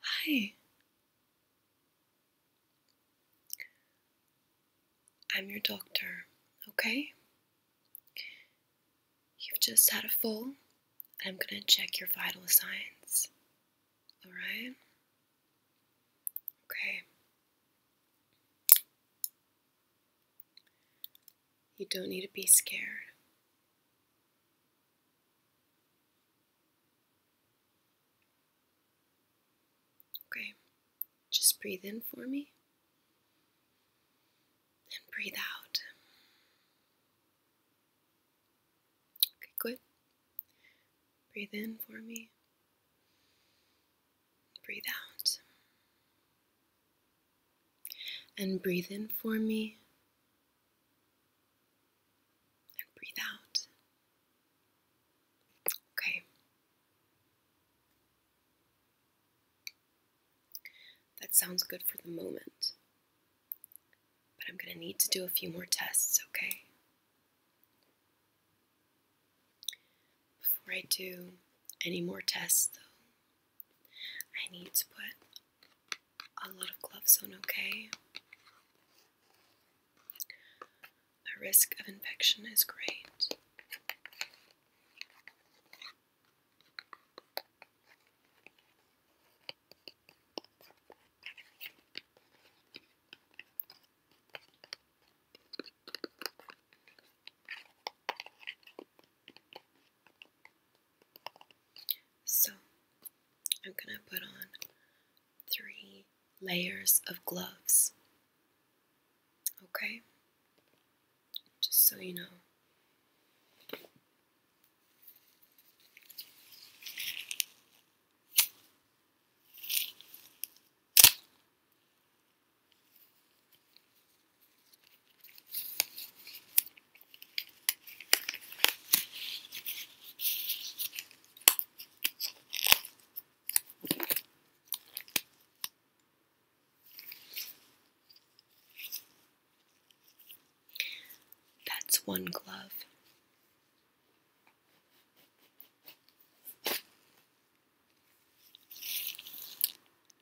Hi. I'm your doctor, okay? You've just had a fall, and I'm going to check your vital signs. All right? Okay. You don't need to be scared. Okay, just breathe in for me and breathe out. Okay, good. Breathe in for me. Breathe out. And breathe in for me. And breathe out. Okay. That sounds good for the moment. But I'm going to need to do a few more tests, okay? Before I do any more tests, though, I need to put a lot of gloves on, okay? The risk of infection is great. So I'm going to put on three layers of gloves. Okay? Just so you know. That's one glove.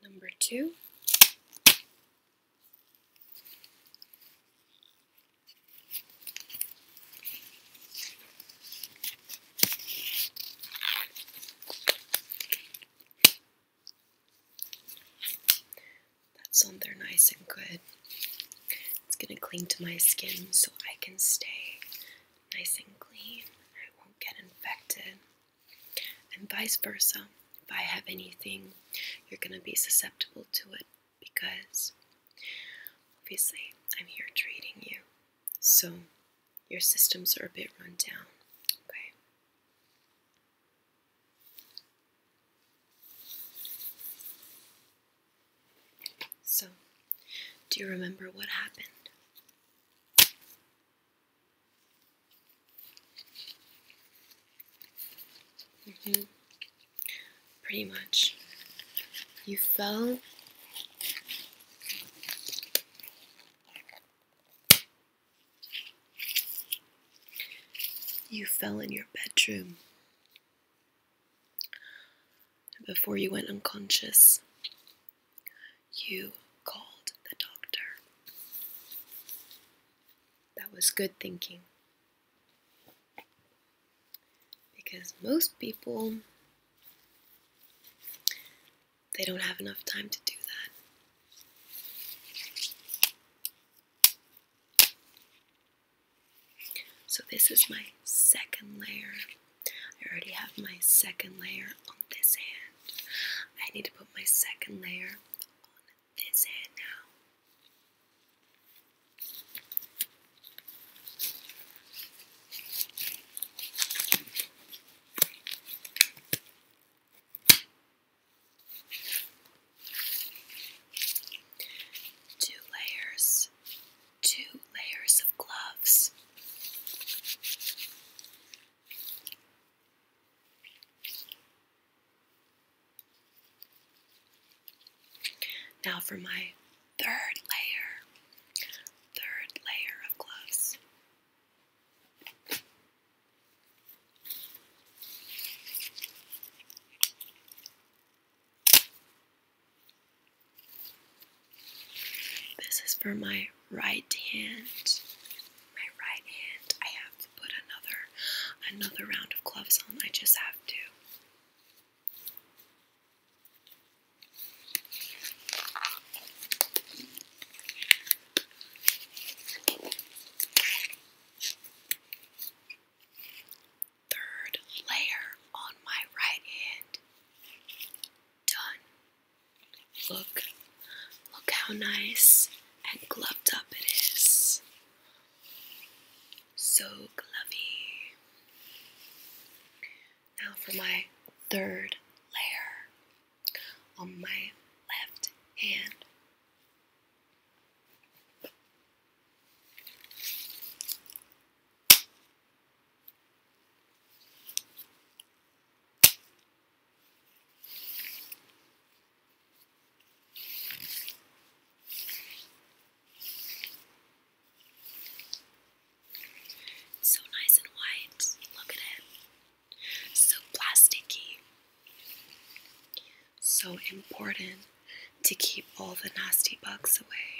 Number two, that's something nice and good. It's going to cling to my skin so I can stay nice and clean. I won't get infected and vice versa. If I have anything, you're going to be susceptible to it because obviously I'm here treating you. So your systems are a bit run down. Okay. So, do you remember what happened? Mm-hmm. Pretty much. You fell You fell in your bedroom before you went unconscious. You called the doctor. That was good thinking. Because most people, they don't have enough time to do that. So this is my second layer. I already have my second layer this hand. I need to put my second layer on this hand now. Two layers, two layers of gloves. Now for my third layer, third layer of gloves. This is for my right hand. My right hand, I have to put another another round of gloves on. I just have to. Third layer on my right hand. Done. Look, look how nice and gloved up it is. So glovy. Now for my third layer on my left hand. So nice and white. Look at it. So plasticky. So important to keep all the nasty bugs away.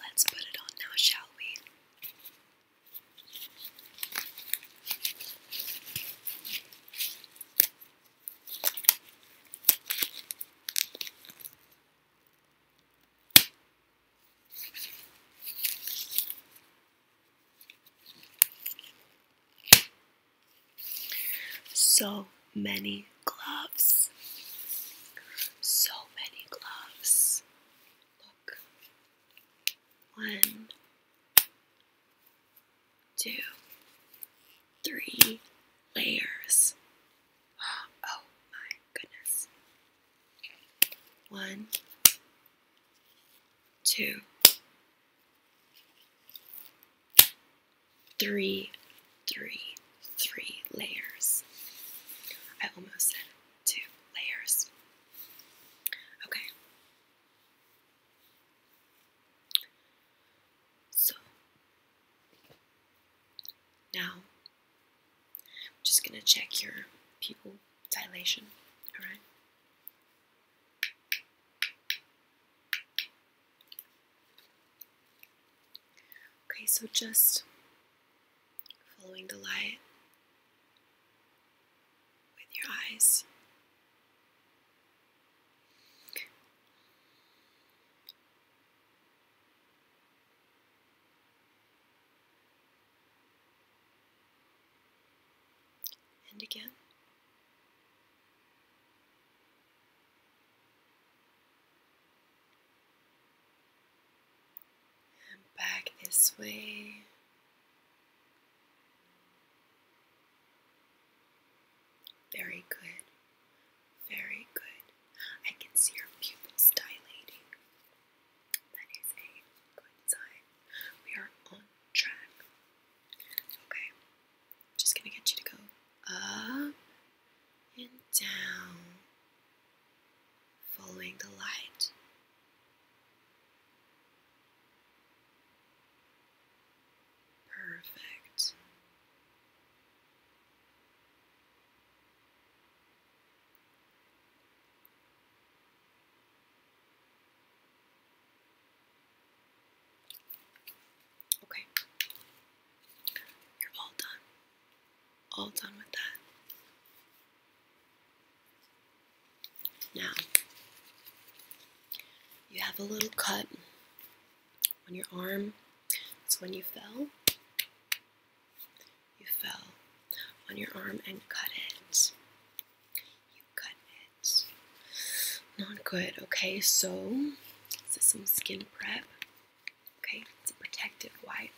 Let's put it on now, shall we? So many gloves. So many gloves. Look. One, two, three layers. Oh my goodness. One, two, Three, three, three layers. I almost said two layers. Okay. So now I'm just going to check your pupil dilation, alright? Okay, so just following the light with your eyes. And again back this way. Very good. Very good. I can see your pupils dilating. That is a good sign. We are on track. Okay. Just gonna get you to go up and down, following the light. Perfect. Okay. You're all done. All done with that. Now, you have a little cut on your arm. It's when you fell. You fell on your arm and cut it. You cut it. Not good. Okay, so this is some skin prep. Okay, it's a protective wipe.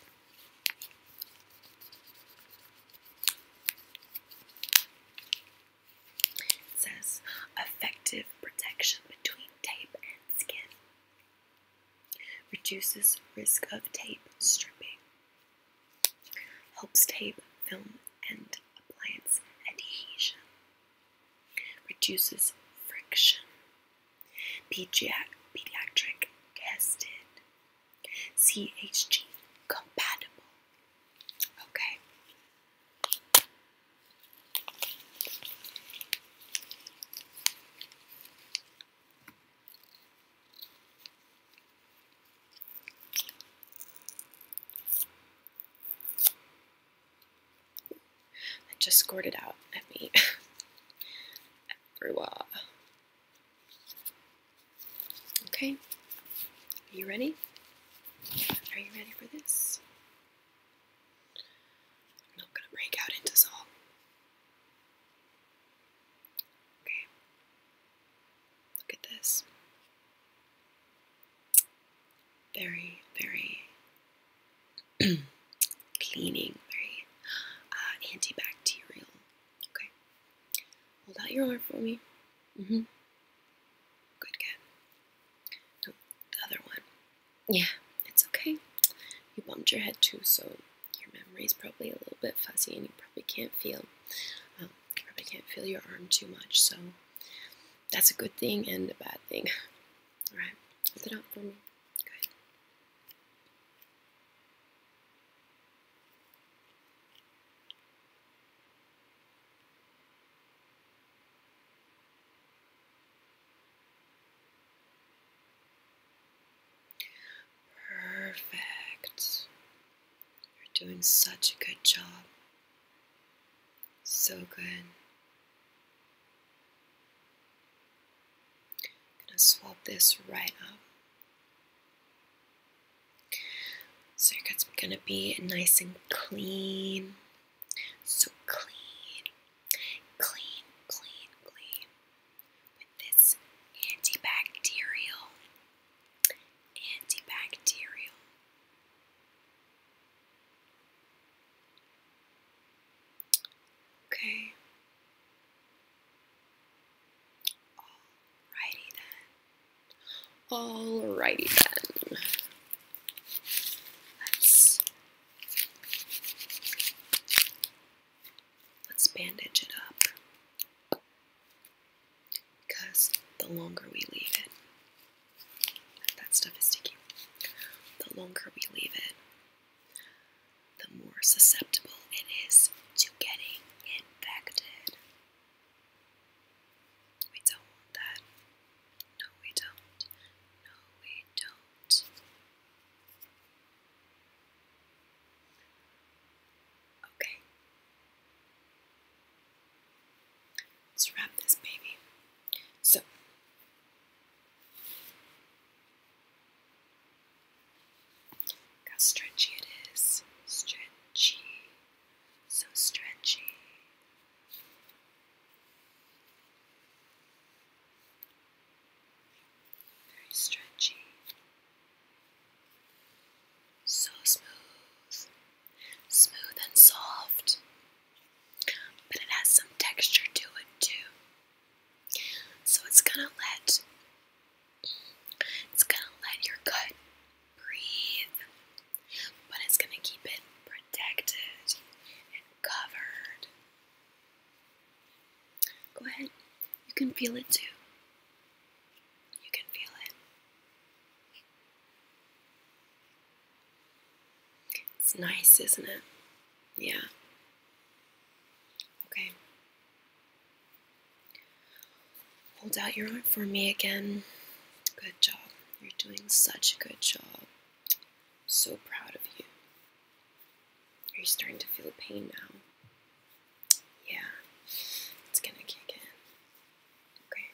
says effective protection between tape and skin. Reduces risk of tape stripping. Helps tape, film, and appliance adhesion reduces friction. Pediatric tested. CHG compatible. Okay. I just scored it out at me. Everywhere. Okay, are you ready? Are you ready for this? I'm not gonna break out into song. Okay. Look at this. Very, very cleaning, very uh, antibacterial. Okay. Hold out your arm for me. hmm. Good, good. No, the other one. Yeah, it's okay. You bumped your head too, so your memory is probably a little bit fuzzy and you probably can't feel. Um, I probably can't feel your arm too much, so that's a good thing and a bad thing. Alright, hold it out for me. Good. Perfect. You're doing such a good job. So good. I'm gonna swap this right up. So it's gonna be nice and clean. So clean, clean, clean, clean with this antibacterial, antibacterial. Okay. Alrighty then. Alrighty then. Let's let's bandage it up because the longer we leave it, that stuff is sticky. The longer we leave it, the more susceptible it is to getting infected. We don't want that. No, we don't. No, we don't. Okay. Let's wrap this baby. So how stretchy it is. Stretchy. So stretchy. Very stretchy. So smooth, smooth and soft, but it has some texture to it too. So it's gonna let it's gonna let your gut breathe, but it's gonna keep it protected and covered. Go ahead, you can feel it too. You can feel it. It's nice, isn't it? Yeah. Okay. Hold out your arm for me again. Good job. You're doing such a good job. So proud of you. Are you starting to feel pain now? yeah, it's gonna kick in. Okay,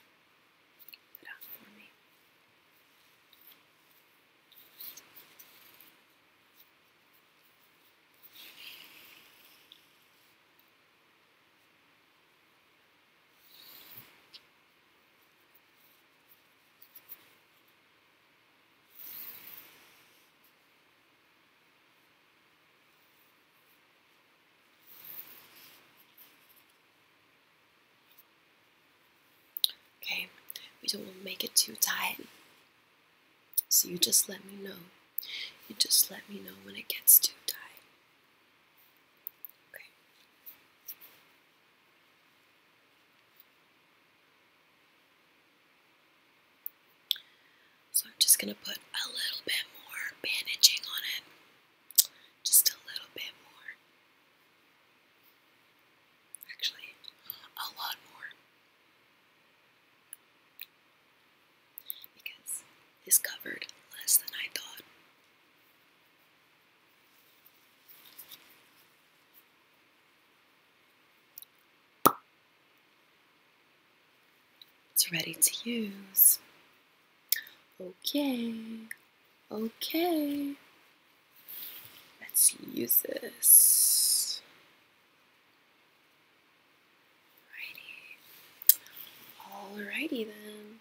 Okay, we don't want to make it too tight. So you just let me know. You just let me know when it gets too tight. Okay. So I'm just going to put a little bit more bandaging on it. Just a little bit more. Actually, a lot more. Because it's covered less than I thought. It's ready to use. Okay, okay. Let's use this. Alrighty. Alrighty then.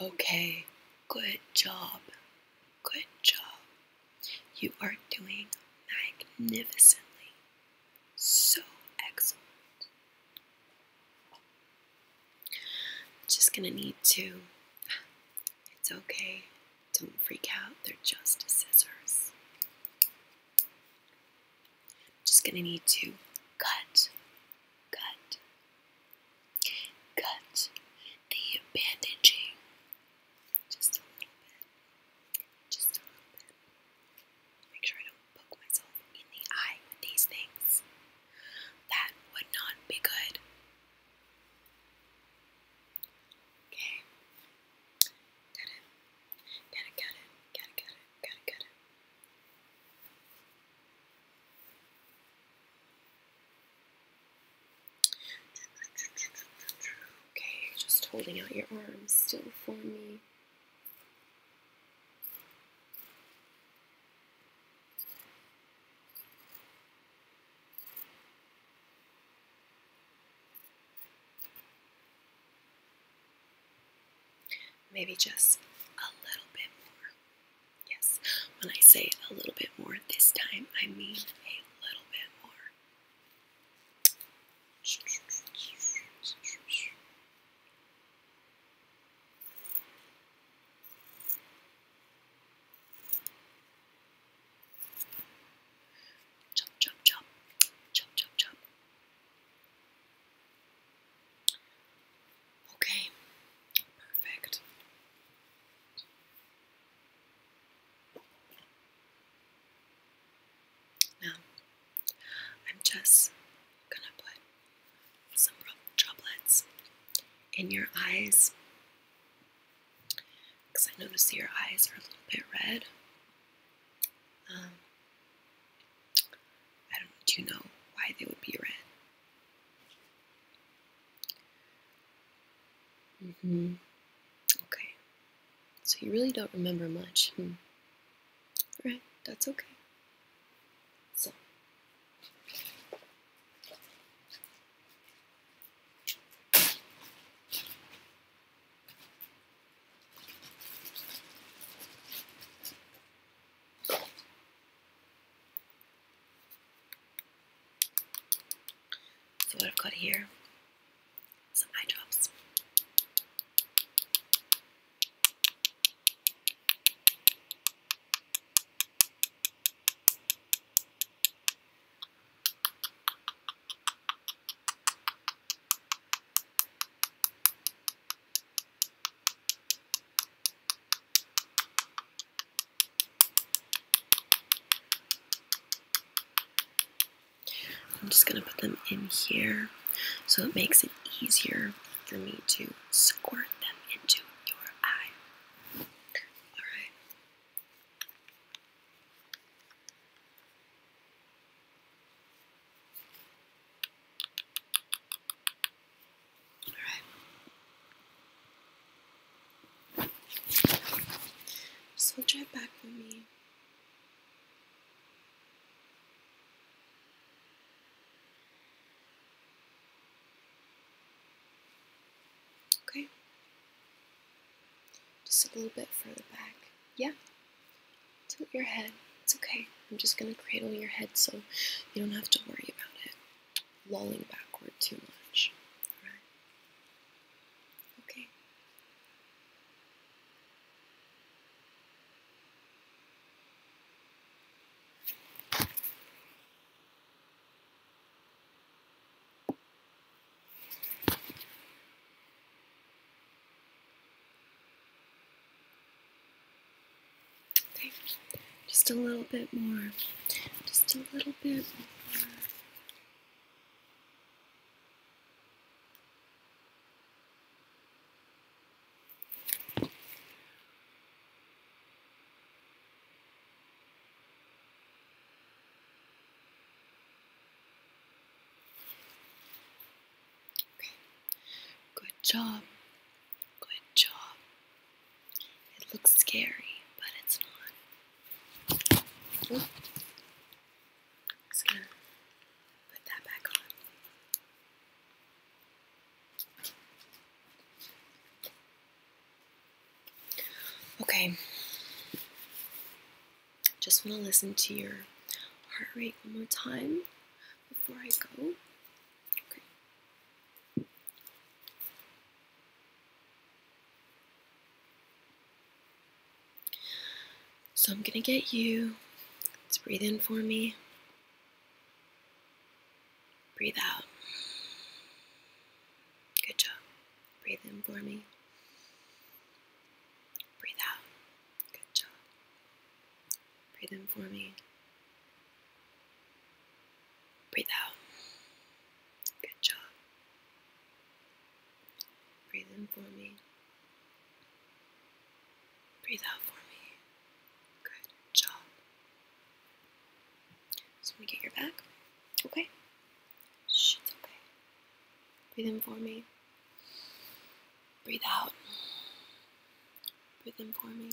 Okay, good job. Good job. You are doing magnificently so excellent. Just gonna need to, it's okay, don't freak out, they're just scissors. Just gonna need to cut, cut, cut the bandaging just a little bit, just a little bit make sure I don't poke myself in the eye with these things. That would not be good. Okay. Cut it. Gotta cut it. Gotta cut it. Gotta cut it. Okay, just holding out your arms still for me. Maybe just a little bit more. Yes, when I say a little bit more this time, I mean a little bit more. Chop, chop, chop, chop, chop, chop. Okay, perfect. Now, I'm just gonna put some droplets in your eyes because I notice your eyes are a little bit red. Um, I don't do you know why they would be red. Mm-hmm. Okay. So you really don't remember much. Hmm. Right, that's okay. So So what I've got here some eye drops. I'm just going to put them in here so it makes it easier for me to squirt them into your eye. All right. All right. So drive back with me. Okay. Just a little bit further back. Yeah. Tilt your head. It's okay. I'm just going to cradle your head so you don't have to worry about it lolling backward too much. Alright? Okay. Okay, just a little bit more, just a little bit more. Okay. Good job. Good job. It looks scary, but it's not. Just gonna put that back on. Okay. Just want to listen to your heart rate one more time before I go. Okay. So I'm going to get you. Let's breathe in for me. Breathe out. Good job. Breathe in for me. Breathe out. Good job. Breathe in for me. Breathe out. Good job. Breathe in for me. Breathe out for me. Good job. So let me get your back. Okay. Shh, it's okay. Breathe in for me. Breathe out. Breathe in for me.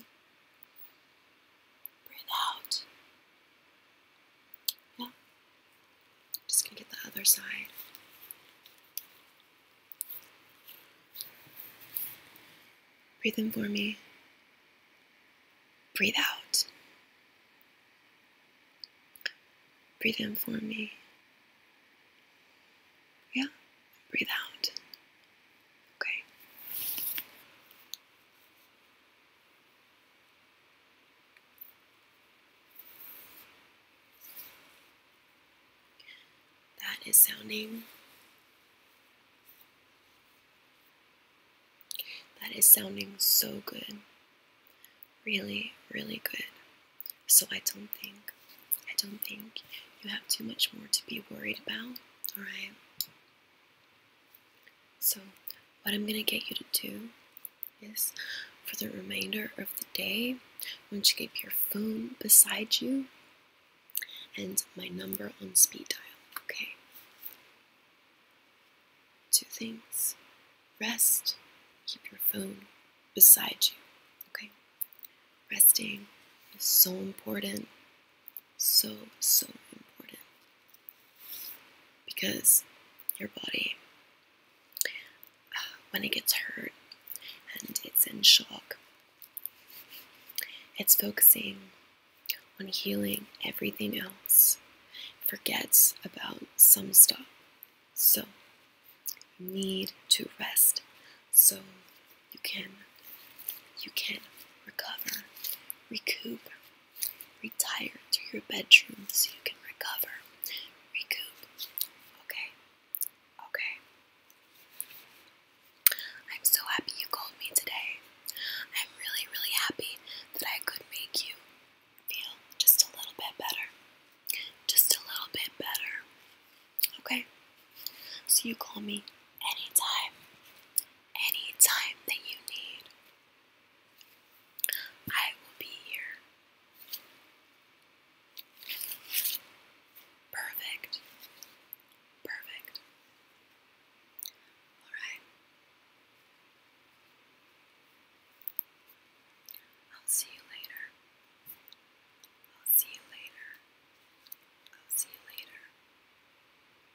Breathe out. Yeah. Just gonna get the other side. Breathe in for me. Breathe out. Breathe in for me. Yeah. Breathe out. Okay. That is sounding. That is sounding so good. Really, really good. So I don't think, I don't think you have too much more to be worried about. All right. So, what I'm going to get you to do is for the remainder of the day, once you keep your phone beside you and my number on speed dial, okay? Two things rest, keep your phone beside you, okay? Resting is so important, so, so important because your body, uh, when it gets hurt and it's in shock, it's focusing on healing everything else, forgets about some stuff. So, you need to rest so you can you can recover, recoup, Retire to your bedroom so you can recover. Recoup. Okay. Okay. I'm so happy you called me today. I'm really, really happy that I could make you feel just a little bit better. Just a little bit better. Okay? So you call me anytime. Anytime that you need. I will be here. Perfect. Perfect. All right. I'll see you later. I'll see you later. I'll see you later.